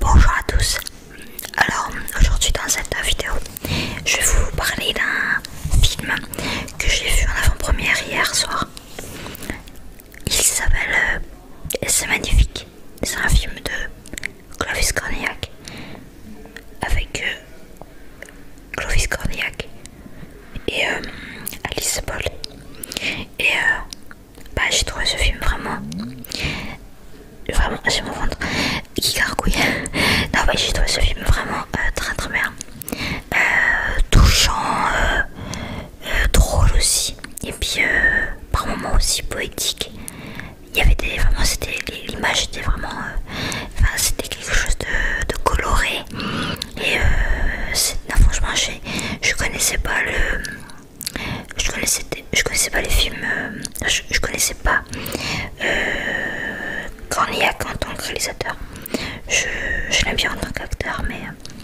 Bonjour à tous, alors aujourd'hui dans cette vidéo je vais vous parler d'un film que j'ai vu en avant-première hier soir Il s'appelle euh, C'est magnifique, c'est un film de Clovis Cornillac avec euh, Clovis Cornillac et euh, Alice Paul et bah, j'ai trouvé ce film vraiment. Vraiment, vais mon ventre qui gargouille. non, j'ai trouvé ce film vraiment euh, très très bien. Euh, touchant, euh, drôle aussi. Et puis, par moments aussi poétique. Il y avait des. Vraiment, c'était. L'image était vraiment. enfin, c'était quelque chose de, coloré. Et euh, non, franchement, je connaissais pas le je connaissais, connaissais pas les films, euh, je, connaissais pas Cornillac euh, en tant que réalisateur. Je, l'aime bien en tant qu'acteur, mais euh,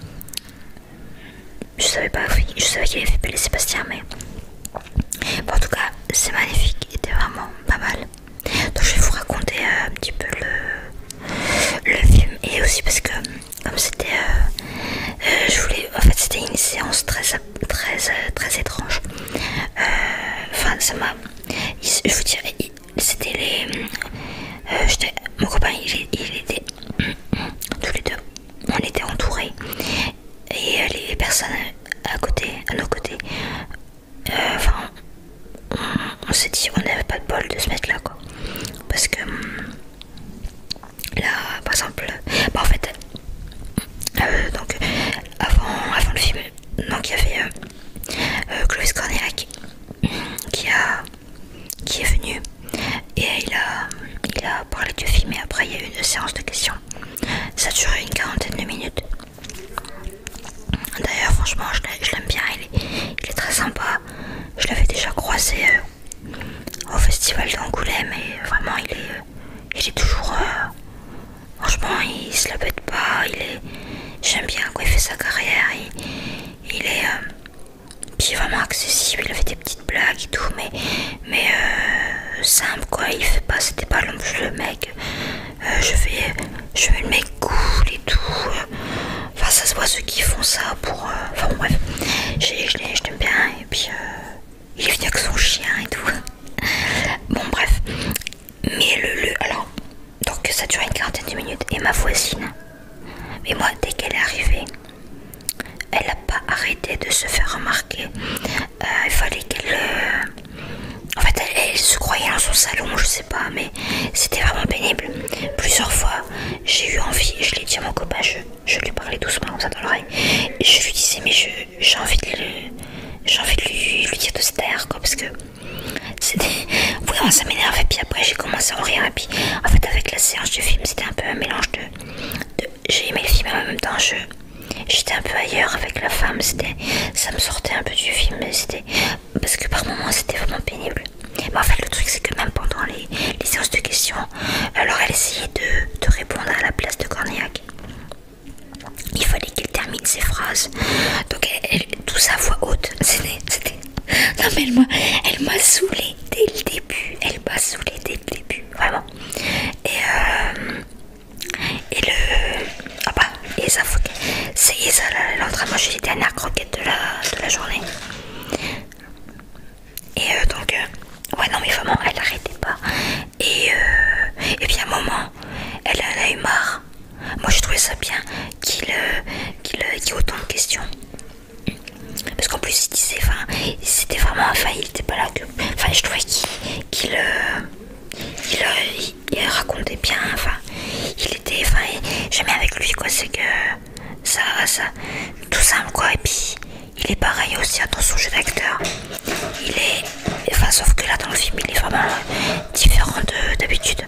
je savais pas, je savais qu'il avait fait Sébastien, mais en tout cas, c'est magnifique, il était vraiment pas mal. Donc, je vais vous raconter un petit peu le, le film et aussi parce que comme c'était euh, euh, je voulais en fait c'était une séance très très euh, très étrange enfin ça m'a je vous dirais c'était les j'étais mon copain il, était tous les deux on était entourés et les personnes à côté à nos côtés enfin on, s'est dit on n'avait pas de bol de se mettre là quoi parce que Là, par exemple, bah, en fait, euh, donc avant, le film, donc il y avait euh, euh, qui a qui est venu et il a parlé du film et après il y a eu une séance de questions. Ça a duré une quarantaine de minutes. D'ailleurs, franchement, je l'aime bien. Il est, très sympa. Je l'avais déjà croisé. Euh, au festival d'Angoulême et vraiment il est, il toujours... Euh, franchement il se la bête pas, il est... J'aime bien quoi il fait sa carrière, il, est... Euh, vraiment accessible, il fait des petites blagues et tout, mais, mais euh, simple quoi, il fait pas, c'était pas l'homme le mec, je fais je fais le mec cool et tout, enfin ça se voit ceux qui font ça pour, enfin bref, je l'aime bien, et puis euh, il est venu avec son chien et tout. bon bref, mais le, alors donc ça dure une quarantaine de minutes et ma voisine, mais moi dès qu'elle est arrivée, elle n'a pas arrêté de se faire remarquer. Euh, il fallait qu'elle euh, en fait elle, se croyait dans son salon, je sais pas, mais c'était vraiment pénible. Plusieurs fois j'ai eu envie, je l'ai dit à mon copain, je je lui parlais doucement comme ça dans l'oreille. je lui disais, mais j'ai envie de, envie de lui, dire de se quoi, parce que c'était. Oui, ça m'énerve. Et puis après, j'ai commencé à en rire. Et puis, en fait, avec la séance du film, c'était un peu un mélange de. j'ai aimé le film, mais en même temps, je. J'étais un peu ailleurs avec la femme, c'était, ça me sortait un peu du film, c'était parce que par moments c'était vraiment pénible. Mais en fait, le truc c'est que même pendant les, les, séances de questions. Alors elle essayait de, répondre à la place de Corniac. Il fallait qu'elle termine ses phrases. Donc elle, tout sa voix haute. C'était. Non mais elle m'a saoulé dès le début. Elle m'a saoulé dès le début. Vraiment. Et, et le. bah, ça C'est ça, elle est les dernières croquettes de la journée. Et euh, donc, euh, ouais, non, mais vraiment, elle n'arrêtait pas. Et, euh, et puis à un moment, elle a eu marre. Moi, je trouvais ça bien qu'il y ait autant de questions. Parce qu'en plus, il disait, enfin, c'était vraiment, enfin, il était pas là que. Enfin, je trouvais qu'il racontait bien, enfin, il était, enfin, j'aimais avec lui, quoi, c'est que ça, ça, tout simple, quoi, et il est pareil aussi attention dans son jeu d'acteur. Il est. Enfin, sauf que là dans le film, il est vraiment euh, différent d'habitude.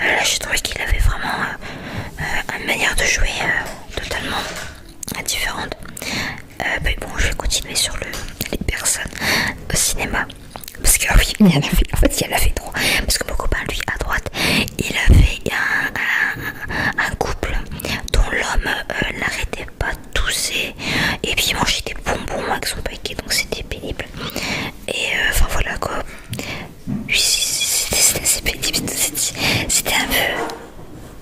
Euh, là, j'ai trouvé qu'il avait vraiment euh, une manière de jouer totalement différente. Mais bon, je vais continuer sur les personnes au cinéma. Parce que oui, il y en fait, en fait, il y en fait Parce que mon copain, lui, à droite, il avait un, un couple dont l'homme euh, n'arrêtait pas de tousser et puis il mangeait des bonbons avec son paquet donc c'était pénible et euh, enfin voilà quoi c'était assez pénible c'était un peu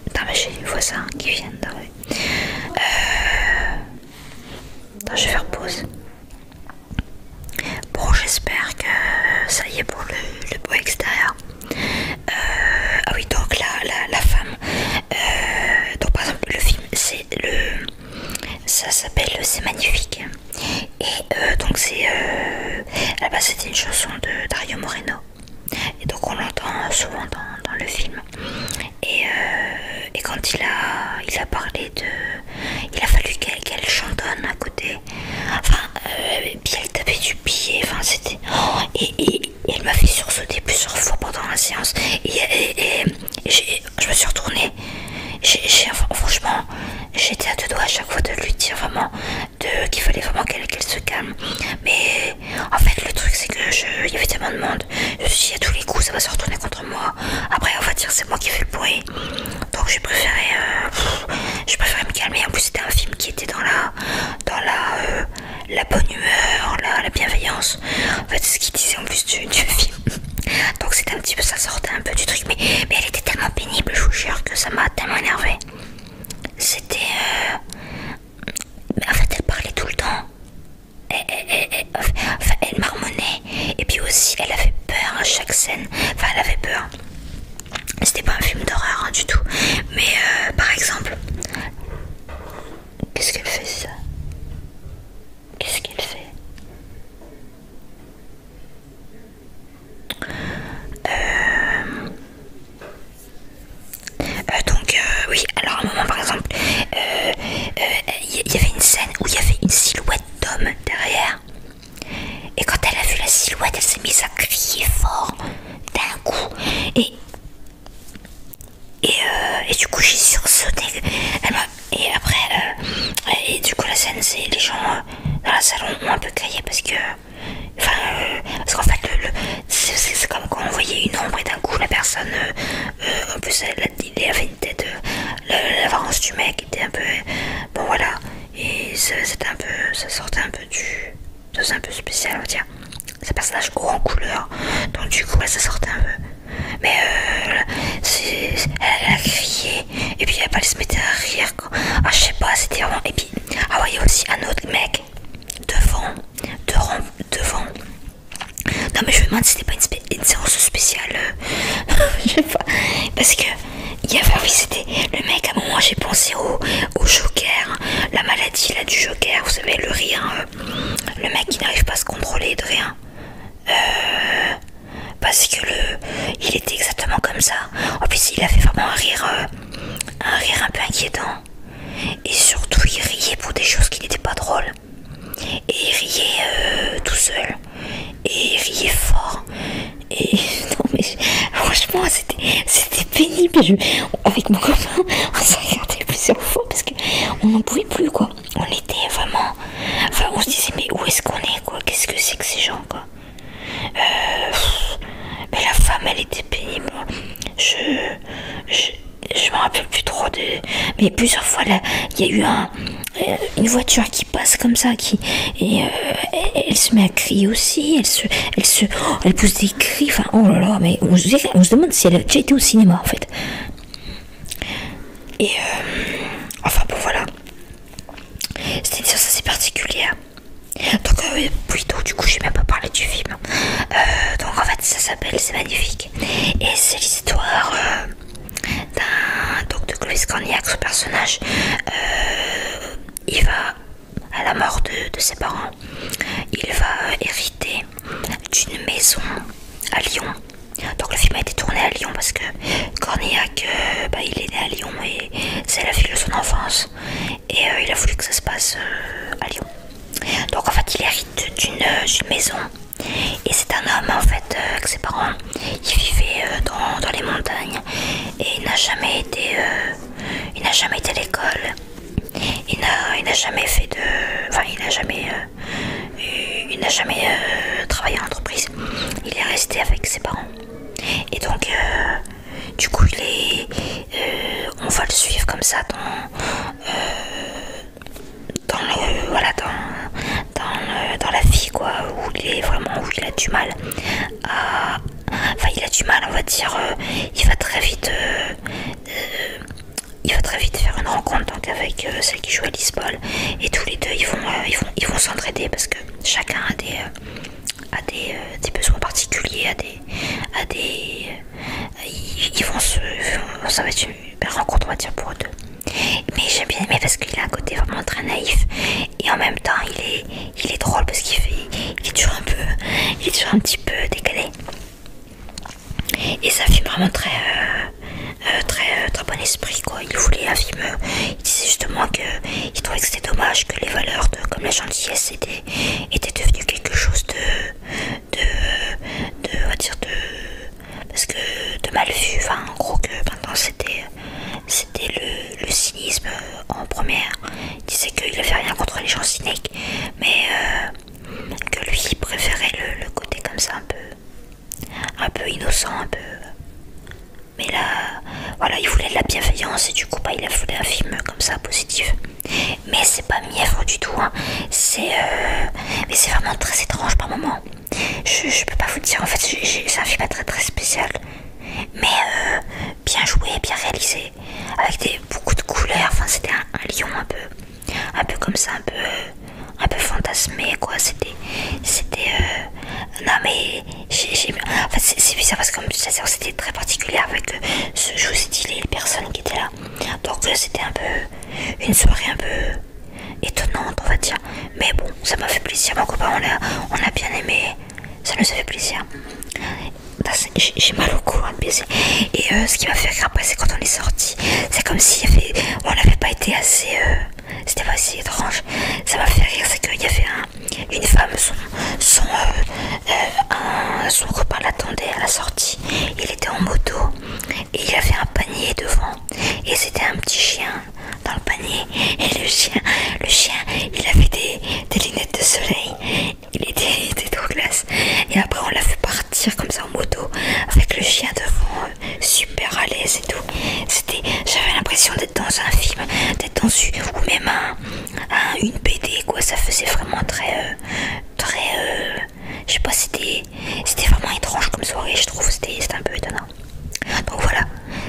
Attends, mais j'ai les voisins hein, qui viennent euh, je vais faire pause. Bon, j'espère que ça y est pour le, le beau extérieur. Euh, ah oui, donc la, la, femme. Euh, donc par exemple, le film, c'est le. Ça s'appelle C'est magnifique. Et euh, donc c'est. là bas la c'était une chanson de Dario Moreno. Et donc on l'entend souvent dans, le film. Et, quand il a, il a parlé de. Il a fallu qu'elle chantonne à côté. Enfin, puis elle tapait du pied. Enfin, c'était. Oh, et il m'a fait sursauter plusieurs fois pendant la séance et, je me suis retournée. franchement, j'étais à deux doigts à chaque fois de lui dire vraiment qu'il fallait vraiment qu'elle se calme. Mais en fait, le truc c'est que je, il y avait tellement de monde. Je suis à tous les coups, ça va se retourner contre moi. Après, on va dire c'est moi qui fais le bruit. Donc j'ai préféré, euh, me calmer. En plus, c'était un film qui était dans la, dans la, euh, la bonne humeur, la, bienveillance. En fait, c'est ce qu'il disait en plus du, film. Donc, c'était un petit peu ça, sortait un peu du truc. Mais, mais elle était tellement pénible, je vous jure, que ça m'a tellement énervé. C'était. Euh, en fait, elle parlait tout le temps. Elle, marmonnait. Et puis aussi, elle avait peur à chaque scène. Enfin, elle avait peur. C'était pas un film d'horreur hein, du tout. Mais euh, par exemple, Qu'est-ce qu'elle fait ça Qu'est-ce qu'elle fait euh, euh, donc euh, oui, alors à un moment par exemple, il y, y avait une scène où il y avait une silhouette d'homme derrière. Et quand elle a vu la silhouette, elle s'est mise à crier fort d'un coup. Et et, euh, et du coup j'ai sursauté et, après euh, et du coup la scène c'est les gens euh, dans la salle ont un peu crié parce que enfin qu'en fait c'est comme quand on voyait une ombre et d'un coup la personne en plus elle, avait une tête du mec était un peu bon voilà et c'était un peu ça sortait un peu du c'est un peu spécial on va dire c'est personnage en couleur donc du coup bah, ça sortait un peu mais euh, elle a crié et puis elle se mettait à rire ah, je sais pas c'était vraiment et puis ah ouais il y a aussi un autre mec devant devant devant non mais je me demande si c'était pas une, séance spéciale euh. je sais pas parce que il y avait c'était le mec à un moment j'ai pensé au au joker, la maladie là du joker, vous savez le rire, euh, le mec qui n'arrive pas à se contrôler de rien. Euh, parce que le, il était exactement comme ça. En plus il avait vraiment un rire, euh, un rire un peu inquiétant. Et surtout il riait pour des choses qui n'étaient pas drôles. Et il riait tout seul. Et il riait fort. Et non mais franchement c'était pénible. avec mon copain, on s'est regardé plusieurs fois parce qu'on n'en pouvait plus, quoi. On était vraiment. Enfin, on se disait, mais où est-ce qu'on est, quoi Qu'est-ce que c'est que ces gens, quoi euh, Mais la femme, elle était pénible. Je. Je. me rappelle plus trop de. Mais plusieurs fois, là, il y a eu un, euh, une voiture qui passe comme ça, qui. Et euh, elle, se met à crier aussi, elle se, elle, se, elle pousse des cris, enfin, oh là là, mais on se, demande si elle a déjà été au cinéma en fait. Et euh, enfin bon voilà, c'était une séance assez particulière. Hein. Donc euh, plutôt du coup je n'ai même pas parlé du film. Euh, donc en fait ça s'appelle C'est magnifique. Et c'est l'histoire d'un donc de Chloé ce personnage. il va à la mort de, ses parents, il va hériter d'une maison à Lyon. Donc le film a été tourné à Lyon parce que Cornillac, euh, bah, il est né à Lyon et c'est la ville de son enfance. Et euh, il a voulu que ça se passe euh, à Lyon. Donc en fait il hérite d'une maison. Et c'est un homme en fait avec ses parents qui vivait dans, les montagnes et il n'a jamais été à l'école il n'a jamais fait de. Enfin, il n'a jamais. Euh, il n'a jamais euh, travaillé en entreprise. Il est resté avec ses parents. Et donc, euh, du coup, il est. on va le suivre comme ça dans. dans la vie, quoi. Où il est vraiment. Où il a du mal Enfin, il a du mal, on va dire. il va très vite. Euh, il va très vite faire une rencontre avec euh, celle qui joue à ball et tous les deux ils vont euh, ils s'entraider parce que chacun a des des, besoins particuliers a des des ils, vont se ça va être une rencontre on va dire pour eux deux mais j'aime bien aimé parce qu'il a un côté vraiment très naïf et en même temps il est il est drôle parce qu'il fait il est un peu il est toujours un petit peu décalé et ça fait vraiment très, euh, euh, très, euh, très bon esprit quoi. Il voulait un film. Il disait justement qu'il trouvait que c'était dommage que les valeurs de, comme la gentillesse étaient, étaient devenues quelque chose de, dire parce que de mal vu. en gros que maintenant c'était, c'était le, cynisme en première. Il disait qu'il avait rien contre les gens cyniques mais euh, que lui préférait le, côté comme ça un peu un peu innocent un peu mais là voilà il voulait de la bienveillance et du coup bah, il a voulu un film comme ça positif mais c'est pas mièvre du tout hein. c'est euh, mais c'est vraiment très étrange par moment je, peux pas vous dire en fait c'est un film très très spécial mais euh, bien joué, bien réalisé, avec des, beaucoup de couleurs. Enfin, c'était un, lion un peu, un peu comme ça, un peu, un peu fantasmé quoi. C'était, c'était, euh, non mais j'ai, c'est bizarre parce que c'était très particulier avec euh, ce, jouet stylé, les personnes qui étaient là. Donc euh, c'était un peu une soirée un peu étonnante on va dire. Mais bon, ça m'a fait plaisir. Mon copain, on a, on a bien aimé. Ça nous a fait plaisir. Bah, j'ai mal au cou, un de baiser. Et euh, ce qui m'a fait rire après, c'est quand on est sorti. C'est comme si on n'avait pas été assez. Euh, c'était pas assez étrange. Ça m'a fait rire, c'est qu'il y avait une femme, son, euh, son, copain l'attendait à la sortie. Il était en moto et il avait un panier devant. Et c'était un petit chien dans le panier. Et le chien, le chien il avait des lunettes de soleil il était, tout classe. Et après, on l'a fait partir comme ça en moto avec le chien devant, euh, super à l'aise et tout. C'était, j'avais l'impression d'être dans un film, d'être dans une, ou même une BD quoi. Ça faisait vraiment très, euh, très, euh, je sais pas, c'était, c'était vraiment étrange comme soirée. Je trouve, c'était un peu étonnant. Donc voilà,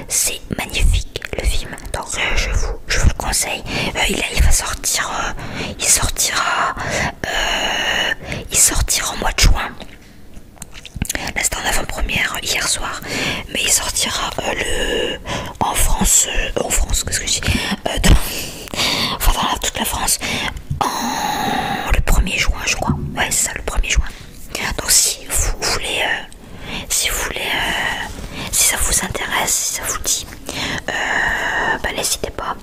c'est magnifique le film. Donc je vous je vous le conseille. Euh, il, va sortir, euh, il sortira, euh, il sortira en mois de juin. Là c'était en avant-première hier soir, mais il sortira le en France, en France, qu'est-ce que je dis, dans, enfin dans toute la France, en, le 1er juin je crois. Ouais c'est ça le 1er juin. Donc si vous voulez, si vous voulez, si ça vous intéresse, si ça vous dit, euh, bah, n'hésitez pas.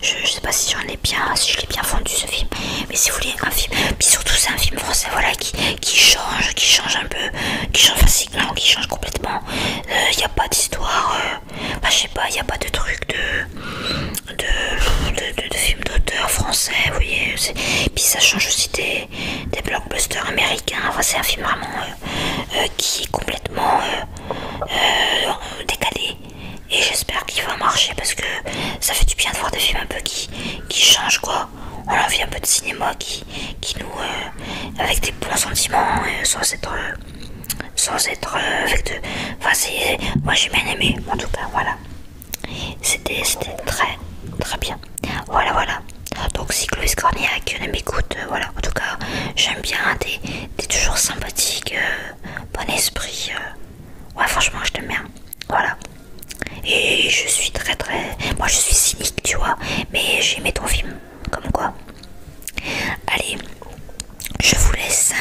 Je, je sais pas si j'en ai bien, si je l'ai bien vendu ce film, mais si vous voulez un film, puis surtout c'est un film français, voilà, qui, qui change, qui change un peu, qui change facilement, qui change complètement. Il euh, n'y a pas d'histoire, euh, bah, je sais pas, il n'y a pas de truc de, de, de, film d'auteur français, vous voyez. Puis ça change aussi des, des blockbusters américains. c'est un film vraiment euh, euh, qui est complètement euh, décalé et j'espère qu'il va marcher parce que ça fait du bien de voir des films un peu qui, changent quoi. On a envie un peu de cinéma qui, nous avec des bons sentiments sans être sans être avec de. Moi j'ai bien aimé en tout cas voilà. C'était très très bien. Voilà voilà. Donc si Chloé on m'écoute, voilà, en tout cas j'aime bien des, T'es toujours sympathique, euh, bon esprit. Euh. Ouais, franchement, je t'aime bien. Voilà. Et je suis très très. Moi, je suis cynique, tu vois. Mais aimé ton film. Comme quoi. Allez, je vous laisse.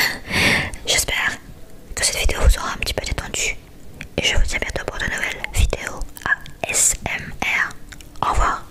J'espère que cette vidéo vous aura un petit peu détendu. Et je vous dis à bientôt pour de nouvelles vidéos ASMR. Au revoir.